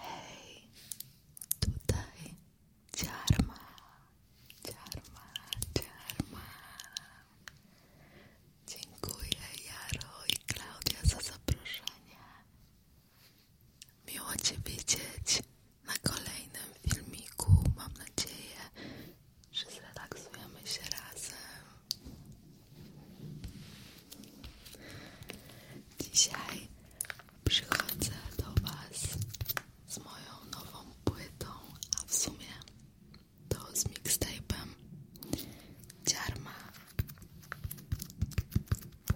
Hej, tutaj ciarma, ciarma, ciarma. Dziękuję Jaro i Klaudia za zaproszenie. Miło Cię widzieć na kolejnym filmiku. Mam nadzieję, że zrelaksujemy się razem. Dzisiaj przychodzę do Was z moją nową płytą, a w sumie to z mixtape'em Dziarma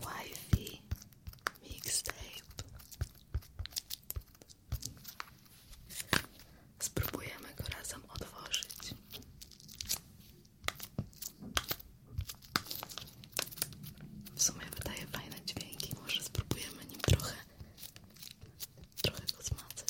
Wi-Fi Mixtape. Spróbujemy go razem otworzyć. W sumie wydaje fajne dźwięki, może spróbujemy nim trochę trochę go zmacać.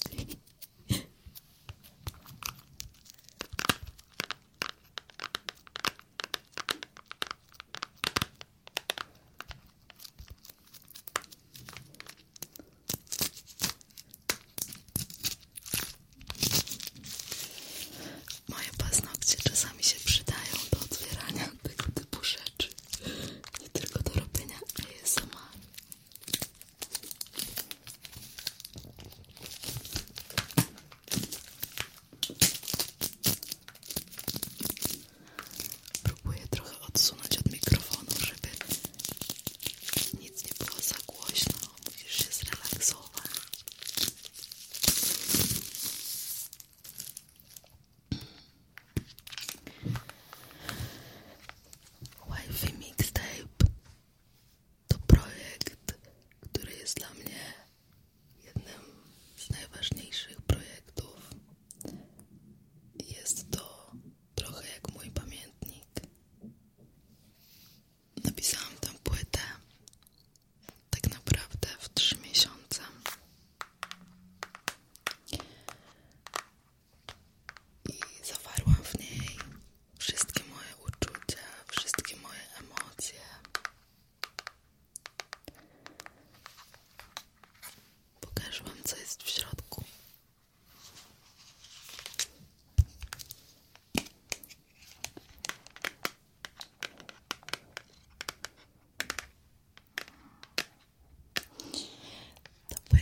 Moje paznokcie czasami się przydają do otwierania tego typu rzeczy. Nie tylko do robienia ASMR. Próbuję trochę odsunąć od mikrofonu, żeby nic nie było za głośno. Musisz się zrelaksować głowa. wi Mixtape to projekt, który jest dla mnie jednym z najważniejszych projektów. Jest to trochę jak mój pamiętnik napisałam tę płytę tak naprawdę w 3 miesiące. I zawarłam w niej wszystkie moje uczucia, wszystkie moje emocje. Pokażę Wam, co jest w środku.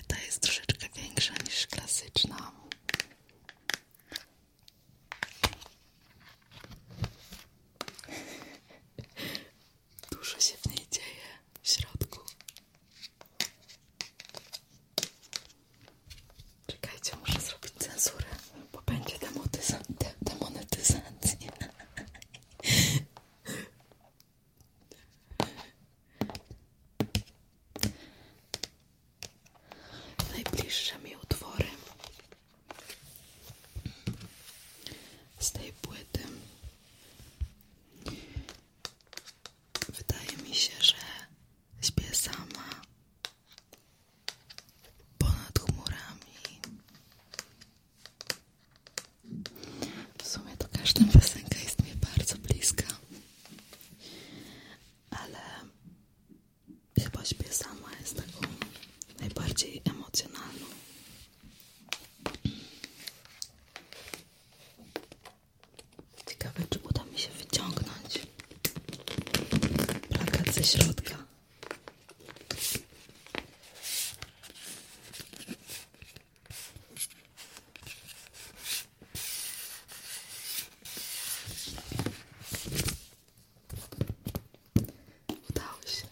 Ta jest troszeczkę większa niż klasyczna. Dużo się w niej dzieje w środku. Czekajcie, muszę zrobić cenzurę, bo będzie demonetyzacja. Najbliższe mi utwory z tej płyty. Wydaje mi się, że śpię sama ponad chmurami. W sumie to każda piosenka jest mi bardzo bliska, ale chyba śpię sama jest taką najbardziej emocjonalną. Ciekawe, czy uda mi się wyciągnąć Plakat ze środka. Udało się.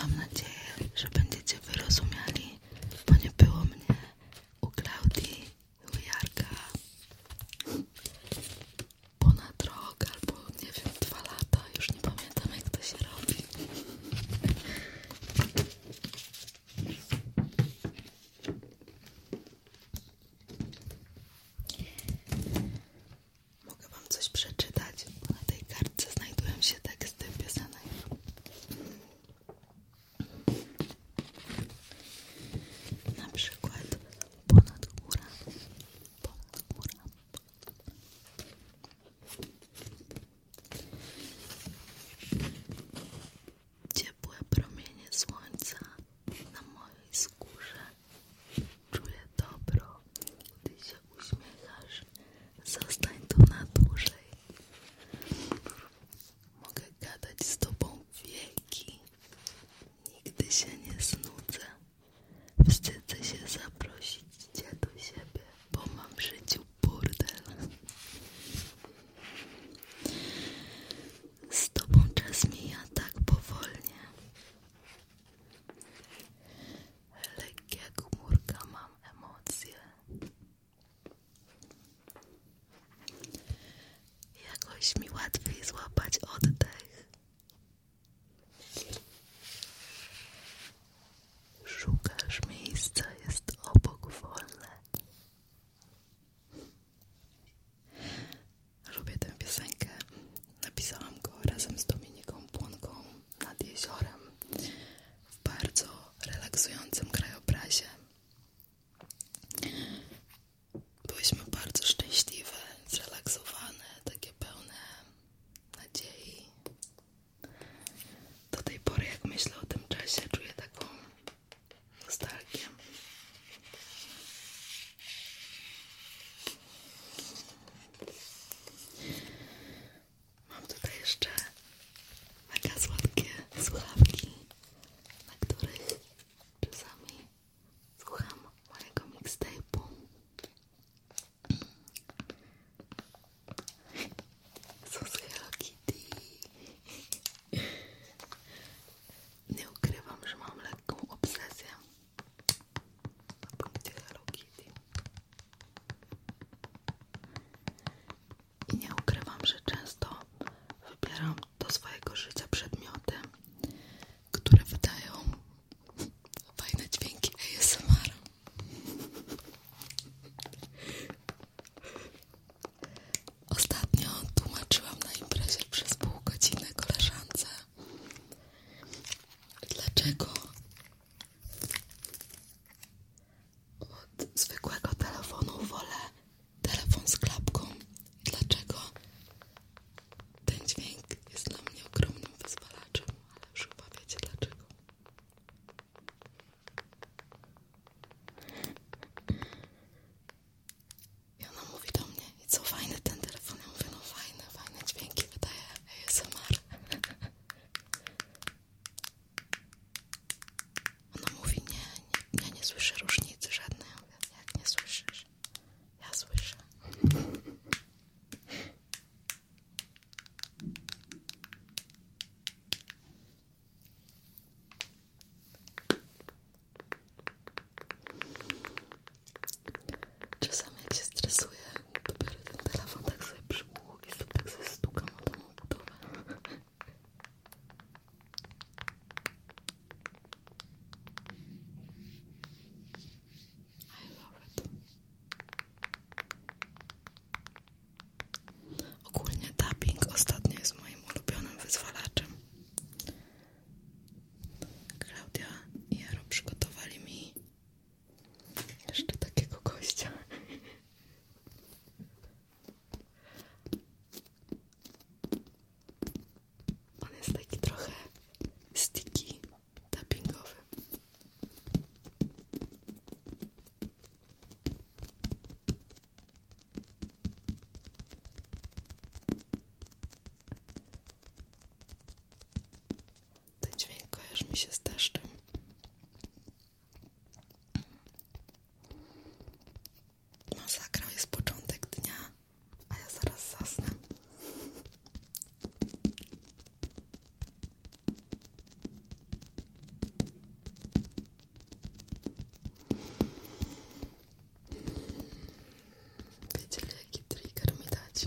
Mam nadzieję, że będziecie wyrozumiali, bo nie było mnie u Klaudii, u Jarka ponad rok albo nie wiem, dwa lata, już nie pamiętam jak to się robi. Mogę Wam coś przeczytać. Na tej kartce znajdują się teksty z tym piosenek. Na przykład ponad góra, ponad góra. Ciepłe promienie słońca na mojej skórze. czuje dobro tysiąca uśmiechasz, zostań tu na dłużej. Mogę gadać z tobą wieki, nigdy się nie znudzę. Wstydzę się zaprosić cię do siebie, bo mam w życiu burdel. Z tobą czas mija tak powolnie lekkie jak mam emocje. Jakoś mi łatwiej złapać oddech. Szukasz miejsca, jest obok wolne. Lubię tę piosenkę. Napisałam go razem z Dominiką Płonką nad jeziorem w bardzo relaksującym krajobrazie. Byłyśmy bardzo szczęśliwe, zrelaksowane, takie pełne nadziei. Do tej pory, jak myślę o tym czasie, czuję taką nostalgię. Mam tutaj jeszcze mega słodkie słuchawki, na których czasami słucham mojego mixtape'u. Są z Kitty. Nie ukrywam, że mam lekką obsesję na punkcie Hello Kitty. I nie ukrywam, że często wybieram do swojego życia przedmioty, które wydają fajne dźwięki ASMR. Ostatnio tłumaczyłam na imprezie przez pół godziny koleżance, dlaczego od zwykłego telefonu wolę telefon z klapką. Dlaczego? Ten dźwięk jest dla mnie ogromnym wyzwalaczem, ale już chyba wiecie dlaczego. I ona mówi do mnie, i co fajne ten telefon, ja mówię, no fajne, fajne dźwięki wydaje ASMR. Ona mówi, nie, nie, ja nie słyszę różnicy żadnej. Ja mówię, nie słyszysz? Ja słyszę. Czasami jak się stresuję, Telefon tak sobie przybuł i sobie tak sobie stukam o tą budowę. I love it. Ogólnie tapping ostatnio jest moim ulubionym wyzwalaczem. Klaudia i Jaro przygotowali mi jeszcze takiego gościa. On jest taki trochę sticky, tappingowy. Ten dźwięk kojarzy mi się z deszczem. jest początek dnia, a ja zaraz zasnę. Wiecie, jaki trigger mi dać?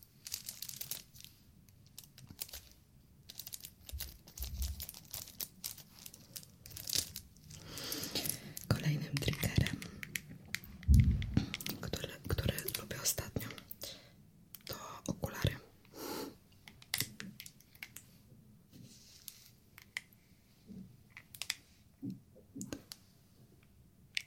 Kolejnym triggerem, który, który lubię ostatnio, to okulary.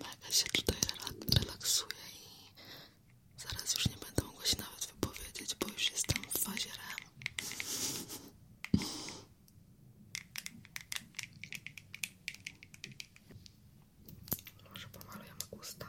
Maga się tutaj relaksuje i zaraz już nie będę mogła się nawet wypowiedzieć, bo już jestem w fazie REM. Może pomalujemy usta,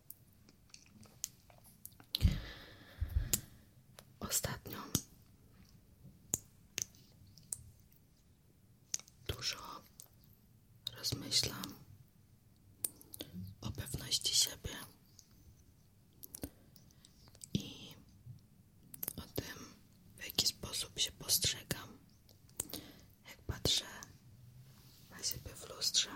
Ostatnio dużo rozmyślam o pewności siebie i o tym, w jaki sposób się postrzegam jak patrzę na siebie w lustrze.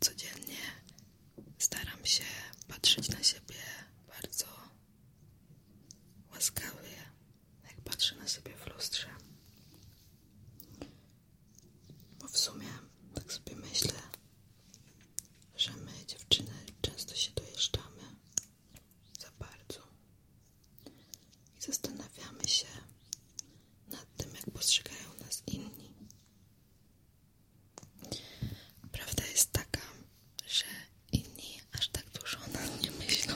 Codziennie staram się patrzeć na siebie bardzo łaskawie, jak patrzę na siebie w lustrze. Bo w sumie tak sobie myślę, że my dziewczyny często się dojeżdżamy za bardzo i zastanawiamy się nad tym, jak postrzegają nas inni. Prawda jest taka, że inni aż tak dużo o nas nie myślą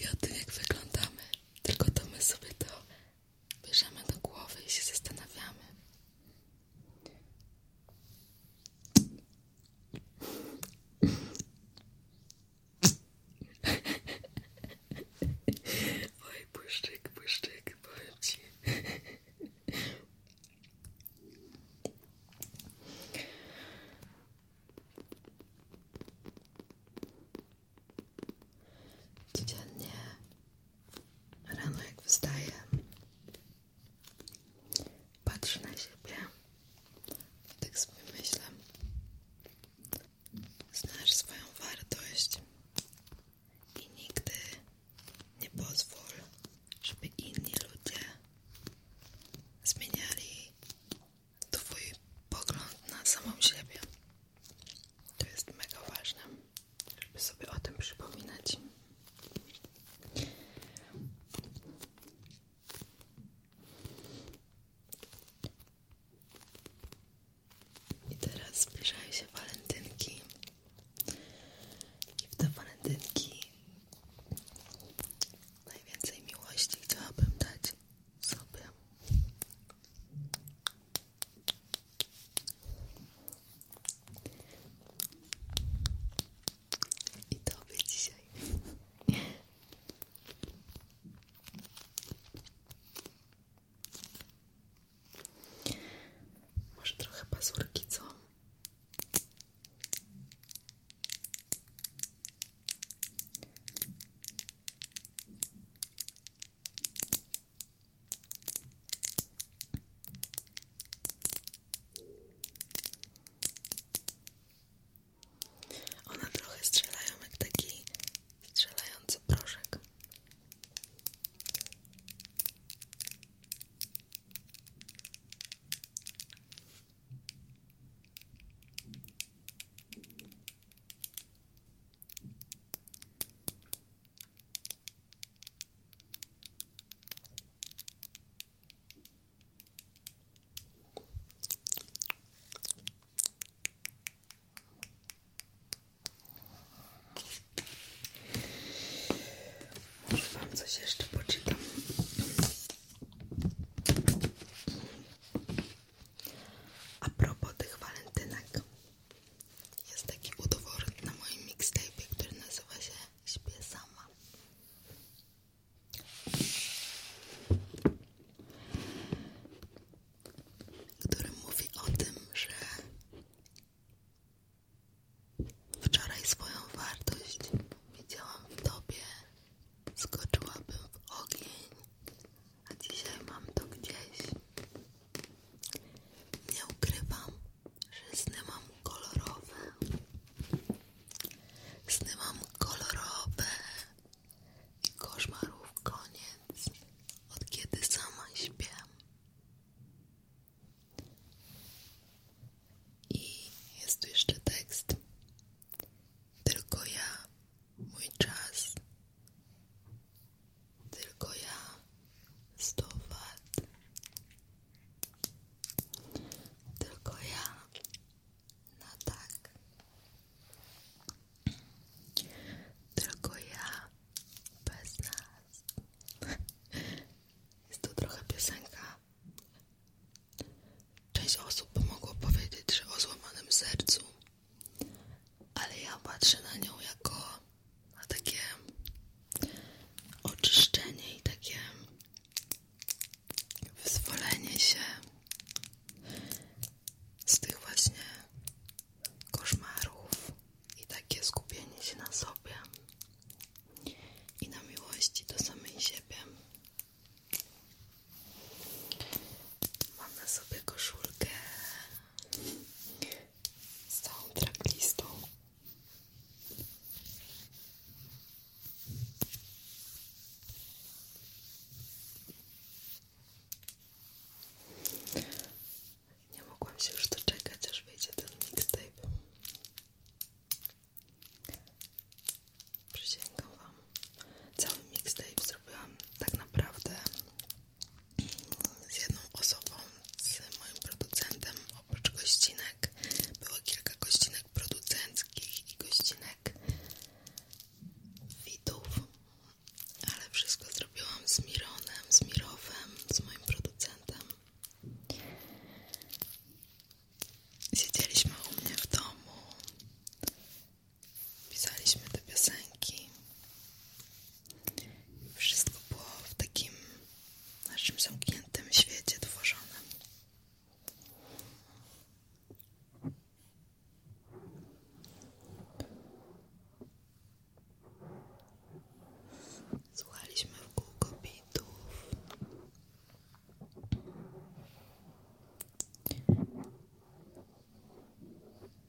i o tym, jak wyglądamy, tylko to my sobie to bierzemy do głowy i się zastanawiamy. Oj, błyszczyk, błyszczyk, powiem ci. Rano jak wstaję, patrzę na siebie i tak sobie myślę, znasz swoją wartość i nigdy nie pozwól, żeby inni ludzie zmieniali twój pogląd na samą siebie. To jest mega ważne żeby sobie o tym przypominać. I teraz zbliżają się walentynki. I w te walentynki najwięcej miłości chciałabym dać sobie. I tobie dzisiaj. Może trochę pazurki, one trochę strzelają jak taki strzelający proszek. Może wam coś jeszcze poczytam. A propos walentynek, jest taki utwór na moim mixtape, który nazywa się Śpię sama. Który mówi o tym, że wczoraj swoją wartość widziałam w tobie, skoczyłabym w ogień, a dzisiaj mam to gdzieś. Nie ukrywam, że sny mam kolorowe. Sny mam kolorowe. I koszmarów koniec, od kiedy sama śpię. I jest tu jeszcze tekst. Tylko ja, mój czas, tylko ja sto wat. Tylko ja na tak. Tylko ja bez nas. Jest to trochę piosenka. Część osób mogło powiedzieć, że o złamanym sercu, ale ja patrzę na nią jako a takie oczyszczenie i takie wyzwolenie się z tych właśnie koszmarów i takie skupienie się na sobie i na miłości do samej siebie. Mam na sobie koszulkę z całą Nie mogłam się już doczekać, aż wyjdzie ten mixtape. Przysięgam Wam. Cały mixtape zrobiłam tak naprawdę z jedną osobą, z moim producentem, oprócz gościnek było kilka gościnek producenckich i gościnek widów, ale wszystko zrobiłam z Mironem, z Mirowem, z moim producentem. Siedzieliśmy u mnie w domu, pisaliśmy te piosenki. Wszystko było w takim naszym zamkniętym świecie tworzonym. Słuchaliśmy w kółko bitów.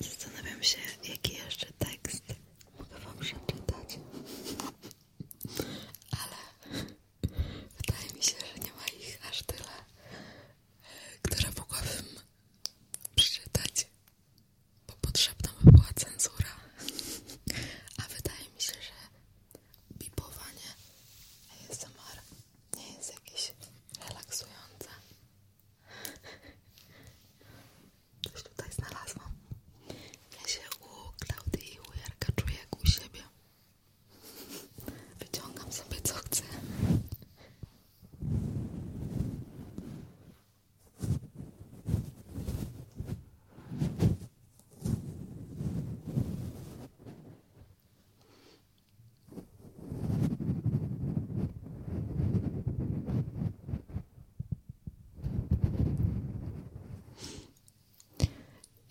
Zastanawiam się, jaki jeszcze tekst mogę wam przeczytać. Ale wydaje mi się, że nie ma ich aż tyle, e, które mogłabym przeczytać, bo potrzebna by była cenzura. A wydaje mi się, że bipowanie ASMR nie jest jakieś relaksujące. Coś tutaj znalazłam. Ja się u Klaudii i u Jarka u siebie. Wyciągam sobie co chcę.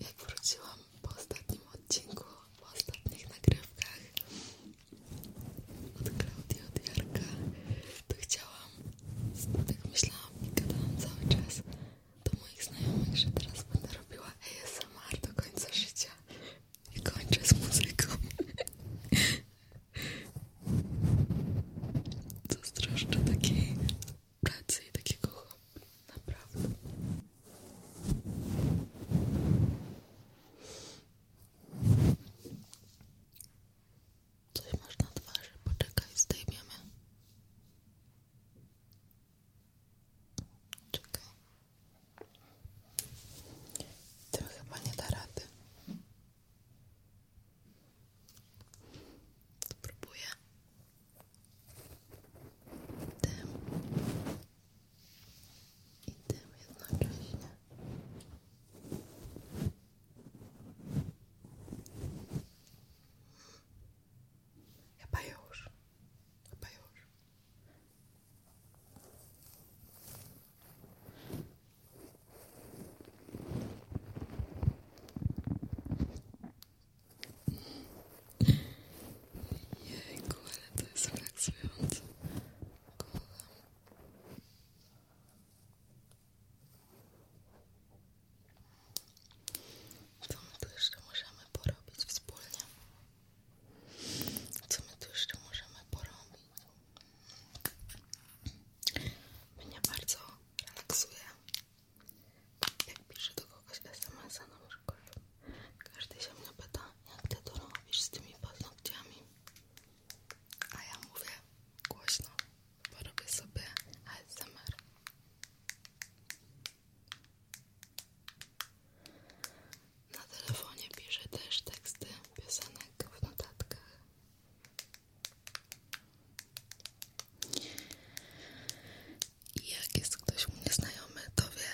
Jak wróciłam po ostatnim odcinku, po ostatnich nagrywkach od Klaudii, od Jarka, to chciałam, tak myślałam i gadałam cały czas do moich znajomych, że teraz będę robiła ASMR do końca życia kończę z muzyką. Zazdroszczę takiej pracy i takiego hobby. Naprawdę. Coś masz na twarzy, poczekaj, zdejmiemy. Czekaj. Tym chyba nie da rady. Spróbuję. Tym i tym jednocześnie. Chyba już. Chyba już. Jejku, ale to jest relaksujące. Co my tu jeszcze możemy porobić wspólnie? Co my tu jeszcze możemy porobić? Mnie bardzo relaksuje. Jak piszę do kogoś SMS-a na przykład, każdy się mnie pyta, jak ty to robisz z tymi paznokciami. A ja mówię głośno, bo robię sobie ASMR. Na telefonie piszę też teksty piosenek w notatkach. I jak jest ktoś mnie znajomy, to wie,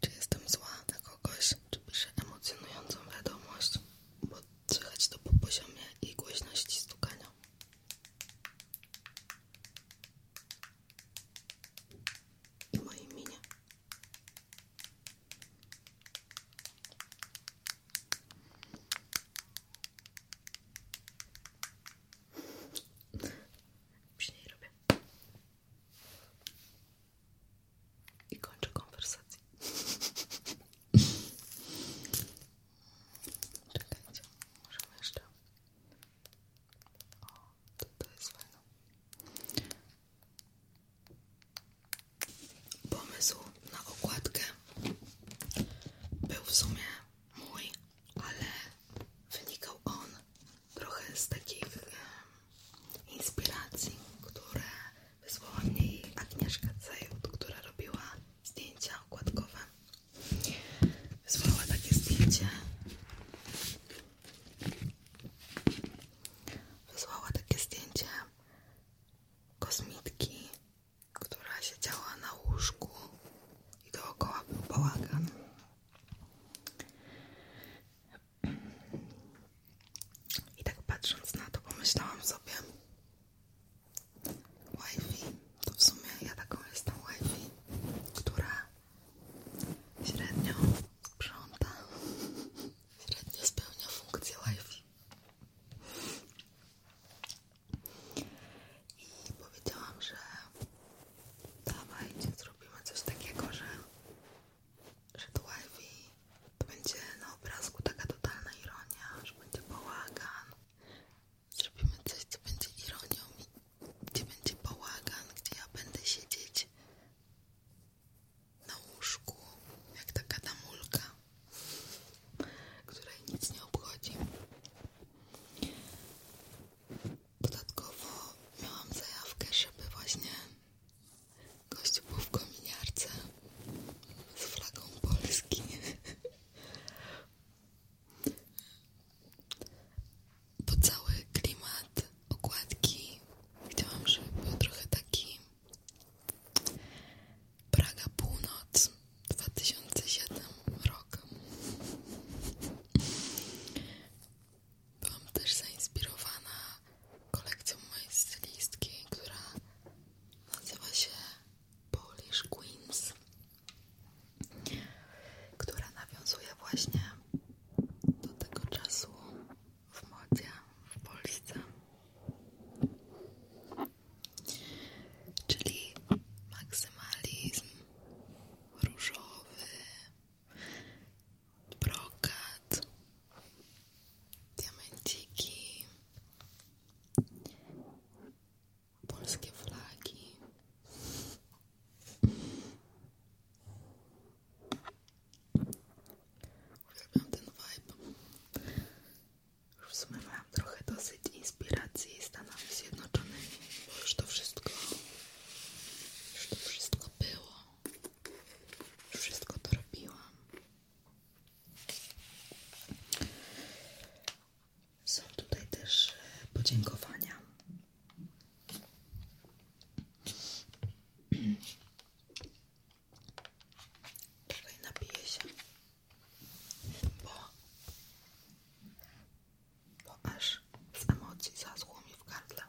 czy jestem zła na kogoś, czy piszę emocjonującą wiadomość, bo słychać to po poziomie i głośności stukania. I mojej minie. Później robię. I kończę konwersację. Czekajcie, możemy jeszcze. O, to, to jest fajne. Pomysł na okładkę był w sumie mój, ale wynikał on trochę z takich inspiracji, które wysłała mnie Agnieszka Cejut, która robiła zdjęcia okładkowe. Wysłała takie zdjęcie wysłała takie zdjęcie kosmitki, która siedziała na łóżku i dookoła był bałagan. I tak patrząc na to, pomyślałam sobie, wi to w sumie ja taką jestem wi która średnio sprząta Średnio spełnia funkcję live. I powiedziałam, że dawajcie, zrobimy coś takiego, że, że to live to będzie na obrazku taka totalna ironia, że będzie bałagan. Zrobimy coś, co będzie ironią, gdzie będzie bałagan, gdzie ja będę siedzieć na łóżku, jak taka damulka, która nic nie obchodzi. Dodatkowo miałam zajawkę, żeby właśnie gość był w kominiarce z flagą polską, Bo cały klimat okładki chciałam, żeby był trochę taki Praga Północ 2007 rok. Byłam też zainspirowana kolekcją mojej stylistki, która nazywa się Polish Queens, która nawiązuje właśnie do tego czasu, w modzie w Polsce. Czyli maksymalizm różowy, brokat, diamenciki, polskie flagi. Uwielbiam ten vibe. Już w trochę dosyć inspiracji Stanami Zjednoczonymi, bo już to wszystko, już to wszystko było. Już wszystko to robiłam. Są tutaj też e, podziękowania. Czekaj, napiję się, bo, bo aż z emocji zaschło mi w gardle.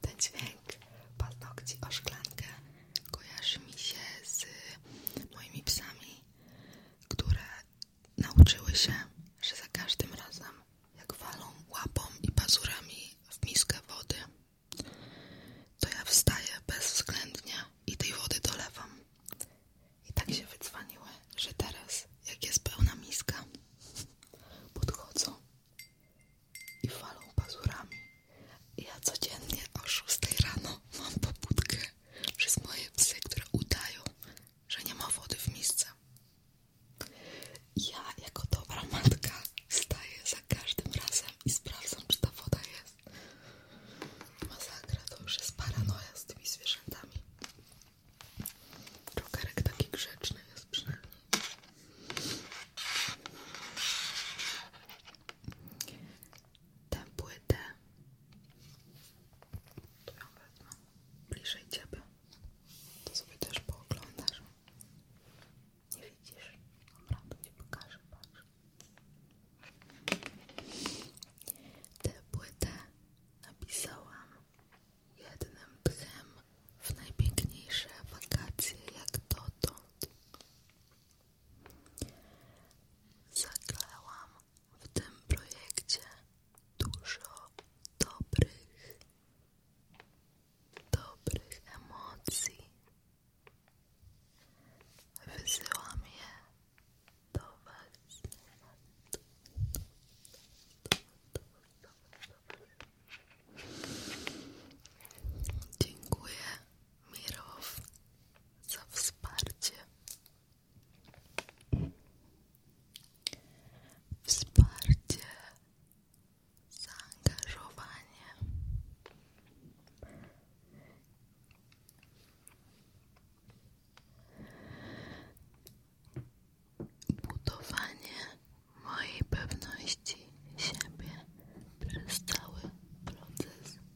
Ten dźwięk paznokci o szklankę kojarzy mi się z moimi psami, które nauczyły się, że za każdym razem, jak walą łapą i pazurami w miskę wody, to ja wstaję bezwzględnie i tej wody dolewam. I tak się wycwaniły, że teraz, jak jest pełna miska, podchodzą i walą pazurami ja codziennie o 6 rano mam pobudkę przez moje psy, które udają, że nie ma wody w misce. Ja jako dobra matka staję za każdym razem i sprawdzam, czy ta woda jest. Masakra to już jest paranoja z tymi zwierzętami. Czokerek taki grzeczny jest przynajmniej tę płytę. Tu ją wezmę bliżej ciebie. To sobie też pooglądasz. Nie widzisz? Dobra, to ci pokażę, patrz. Tę płytę napisałam jednym tchem w najpiękniejsze wakacje jak dotąd. Zaklełam w tym projekcie dużo dobrych, dobrych emocji. Wysyłam je do Was. Dziękuję Mirow za wsparcie. Wsparcie, zaangażowanie. Budowanie mojej pewności siebie przez cały proces.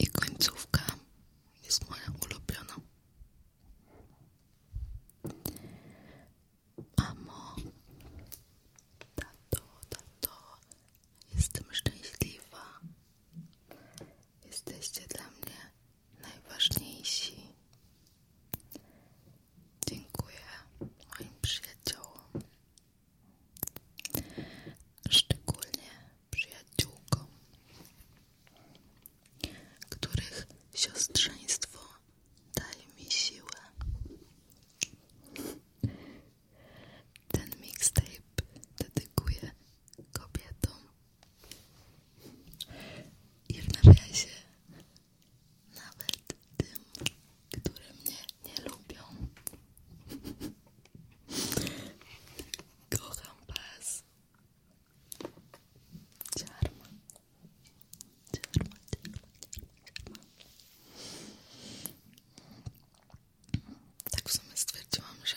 I końcówka jest moja ulubiona. Mamo, tato, tato, jestem szczęśliwa. Jesteście dla mnie najważniejsi. Dziękuję moim przyjaciołom szczególnie przyjaciółkom, których siostrzeństwo daje mi siłę. Ten mixtape dedykuję kobietom i w nawiasie nawet tym, które mnie nie lubią. Kocham was. Ciarma. Ciarma, ciarma, ciarma, Tak w sumie stwierdziłam, że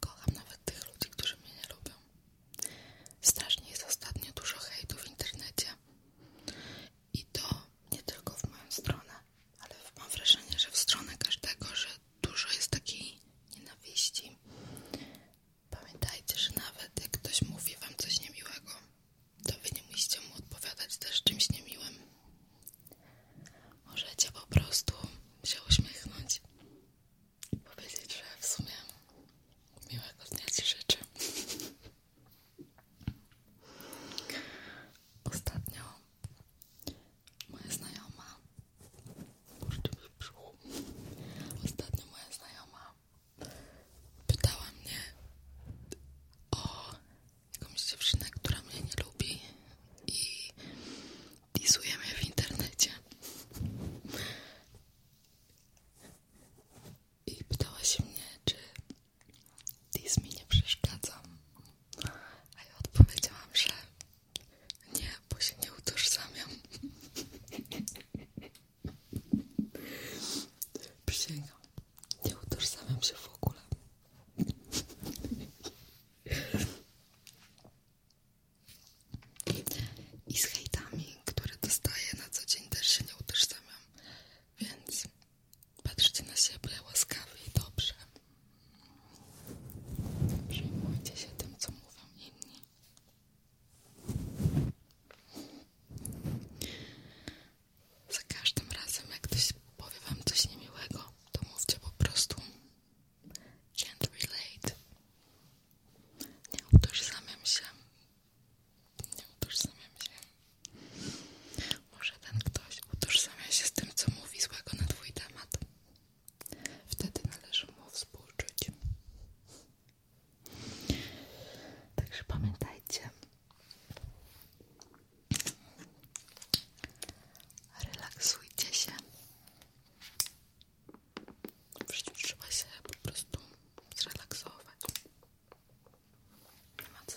kocham nawet tych ludzi, którzy mnie nie lubią. Strasznie jest ostatnio dużo hejtu w internecie. I to nie tylko w moją stronę, ale mam wrażenie, że w stronę każdego, że dużo jest takiej nienawiści. Pamiętajcie, że nawet jak ktoś mówi wam coś niemiłego, to wy nie musicie mu odpowiadać też czymś niemiłym. Możecie po prostu się uśmiechnąć i powiedzieć, że w sumie miłego dnia ci życzę. Ostatnio moja znajoma kurczę mi w brzuchu ostatnio moja znajoma pytała mnie o jakąś dziewczynę, która mnie nie lubi i disuje mnie w internecie i pytała się mnie, czy dis mi nie przeszkadza a ja odpowiedziałam, że nie, bo się nie utożsamiam. Przysięgam. Nie utożsamiam się w ogóle. I z hejtami, które dostaję na co dzień, też się nie utożsamiam. Więc Patrzcie na siebie łaskawie i dobrze. Przejmujcie się tym, co mówią inni. Za każdym razem, jak ktoś powie wam coś niemiłego, to mówcie po prostu can't relate. Nie utożsamiam się. Nie utożsamiam się. Może ten ktoś utożsamia się z tym, co mówi złego na twój temat. Wtedy należy mu współczuć. Także pamiętajcie. Relaksujcie się. W trzeba się po prostu zrelaksować. Nie ma co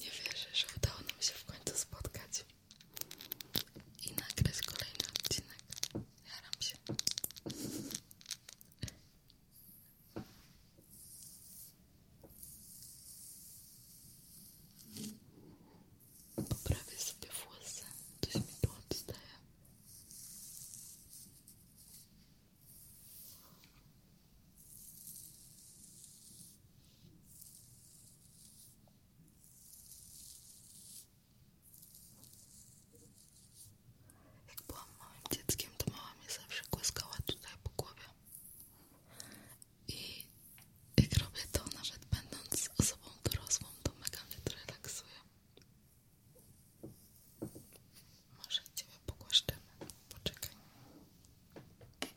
nie wierzę, że udało nam się w końcu spotkać i nagrać kolejny odcinek. się. Poprawię sobie włosy, coś mi tu Jak byłam małym dzieckiem, to mama mnie zawsze głaskała tutaj po głowie i jak robię to, nawet będąc osobą dorosłą, to mega mnie to relaksuje. Może Ciebie pogłaszczymy. Poczekaj. O Tu.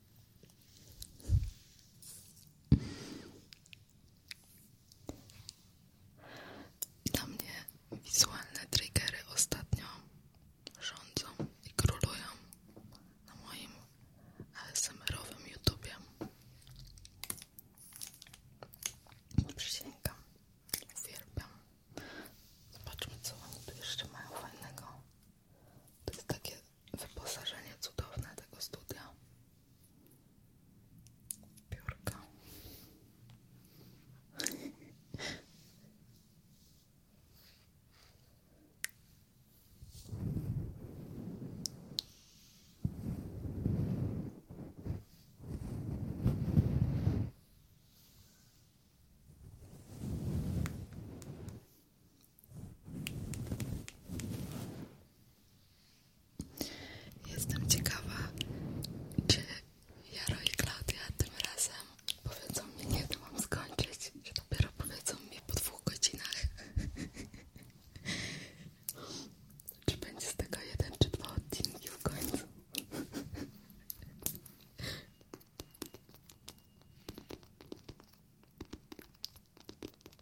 Na mnie wizualne triggery ostatnio rządzą i królują na moim ASMR-owym YouTubie. Przysięgam, uwielbiam. Zobaczmy, co oni tu jeszcze mają fajnego. To jest takie wyposażenie cudowne tego studia. Piórka. Jestem ciekawa, czy Jaro i Klaudia tym razem powiedzą mi, kiedy mam skończyć, że dopiero powiedzą mi po dwóch godzinach. Czy będzie z tego jeden czy dwa odcinki w końcu?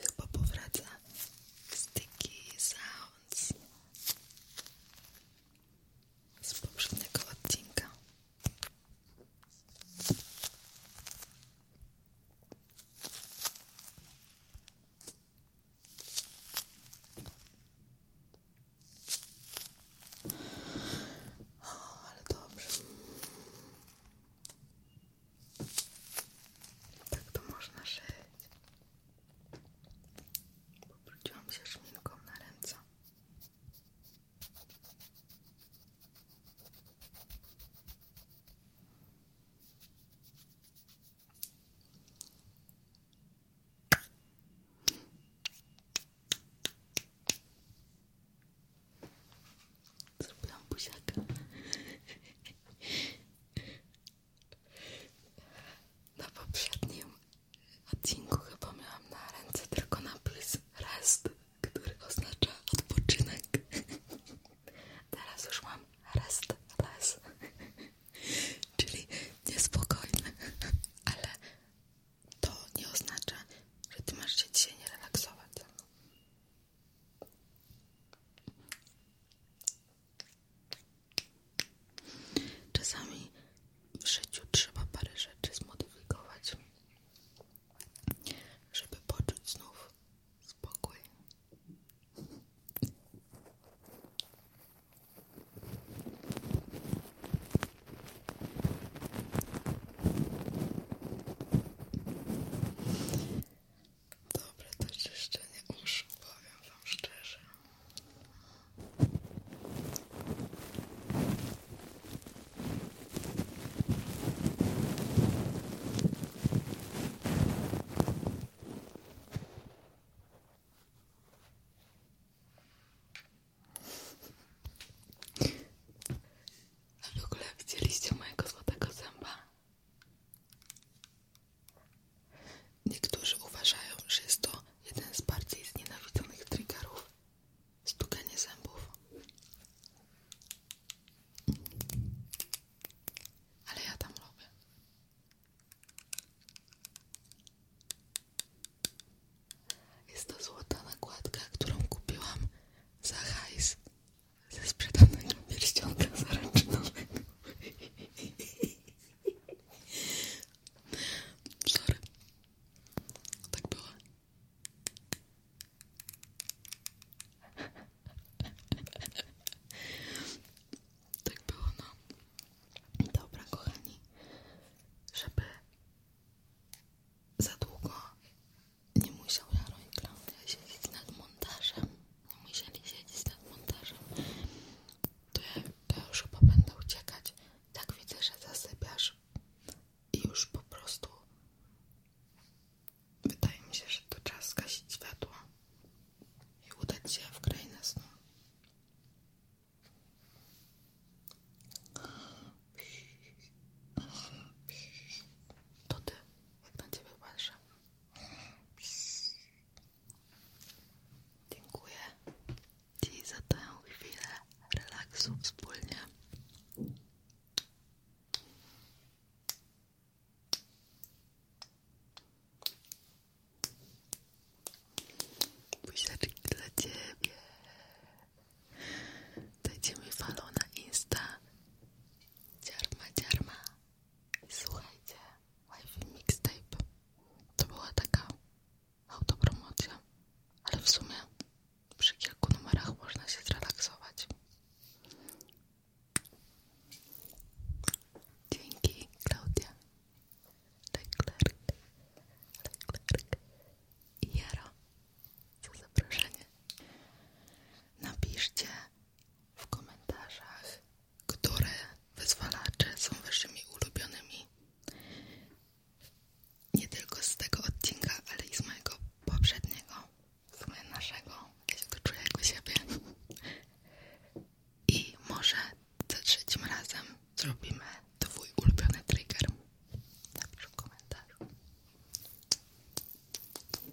Chyba powraca Sticky Sounds z poprzedniego odcinka. ale dobrze. Tak to można żyć. Powróciłam się szminką na ręce. Zrobiłam buziaka. Na poprzednim odcinku chyba miałam na ręce tylko napis rest, który oznacza odpoczynek. Teraz już mam rest les, czyli niespokojny, ale to nie oznacza, że ty masz się dzisiaj nie relaksować. Czasami w życiu trzeba parę rzeczy zmodyfikować, żeby poczuć znów spokój. Dobre to czyszczenie uszu, wam szczerze. A w ogóle widzieliście mojego złotego zęba? Niektórzy uważają, że jest to jeden z bardziej znienawidzonych triggerów stukanie zębów. Ale ja tam lubię. Jest to złota nakładka, którą kupiłam za hajs ze sprzedanego pierścionka zaręczynowego. Sorry. Tak było. Tak było, no. Dobra, kochani, żeby za długo nie musiał Jaro i Klaudia siedzieć nad montażem, nie musieli siedzieć nad montażem, to ja, już chyba będę uciekać. Tak widzę, że zasypiasz i już po prostu wydaje mi się, że to czas zgasić światło i udać się w krainę snu. To ty, jak na ciebie patrzę, Dziękuję Ci za tę chwilę relaksu wspólnie. Buziaczki dla Ciebie. Dajcie mi na Insta. Dziarma, dziarma. I słuchajcie, Wi-Fi Mixtape to była taka autopromocja, ale w sumie przy kilku numerach można się zrelaksować. Dzięki, Klaudia. Leclerc. Leclerc. I Jara za zaproszenie. Napiszcie w komentarzach, które wyzwalacze są waszymi ulubionymi. Nie tylko z tego odcinka, ale i z mojego poprzedniego, z mojego naszego, ja się to czuję jak siebie. I może za trzecim razem zrobimy twój ulubiony trigger. Napisz w komentarzu.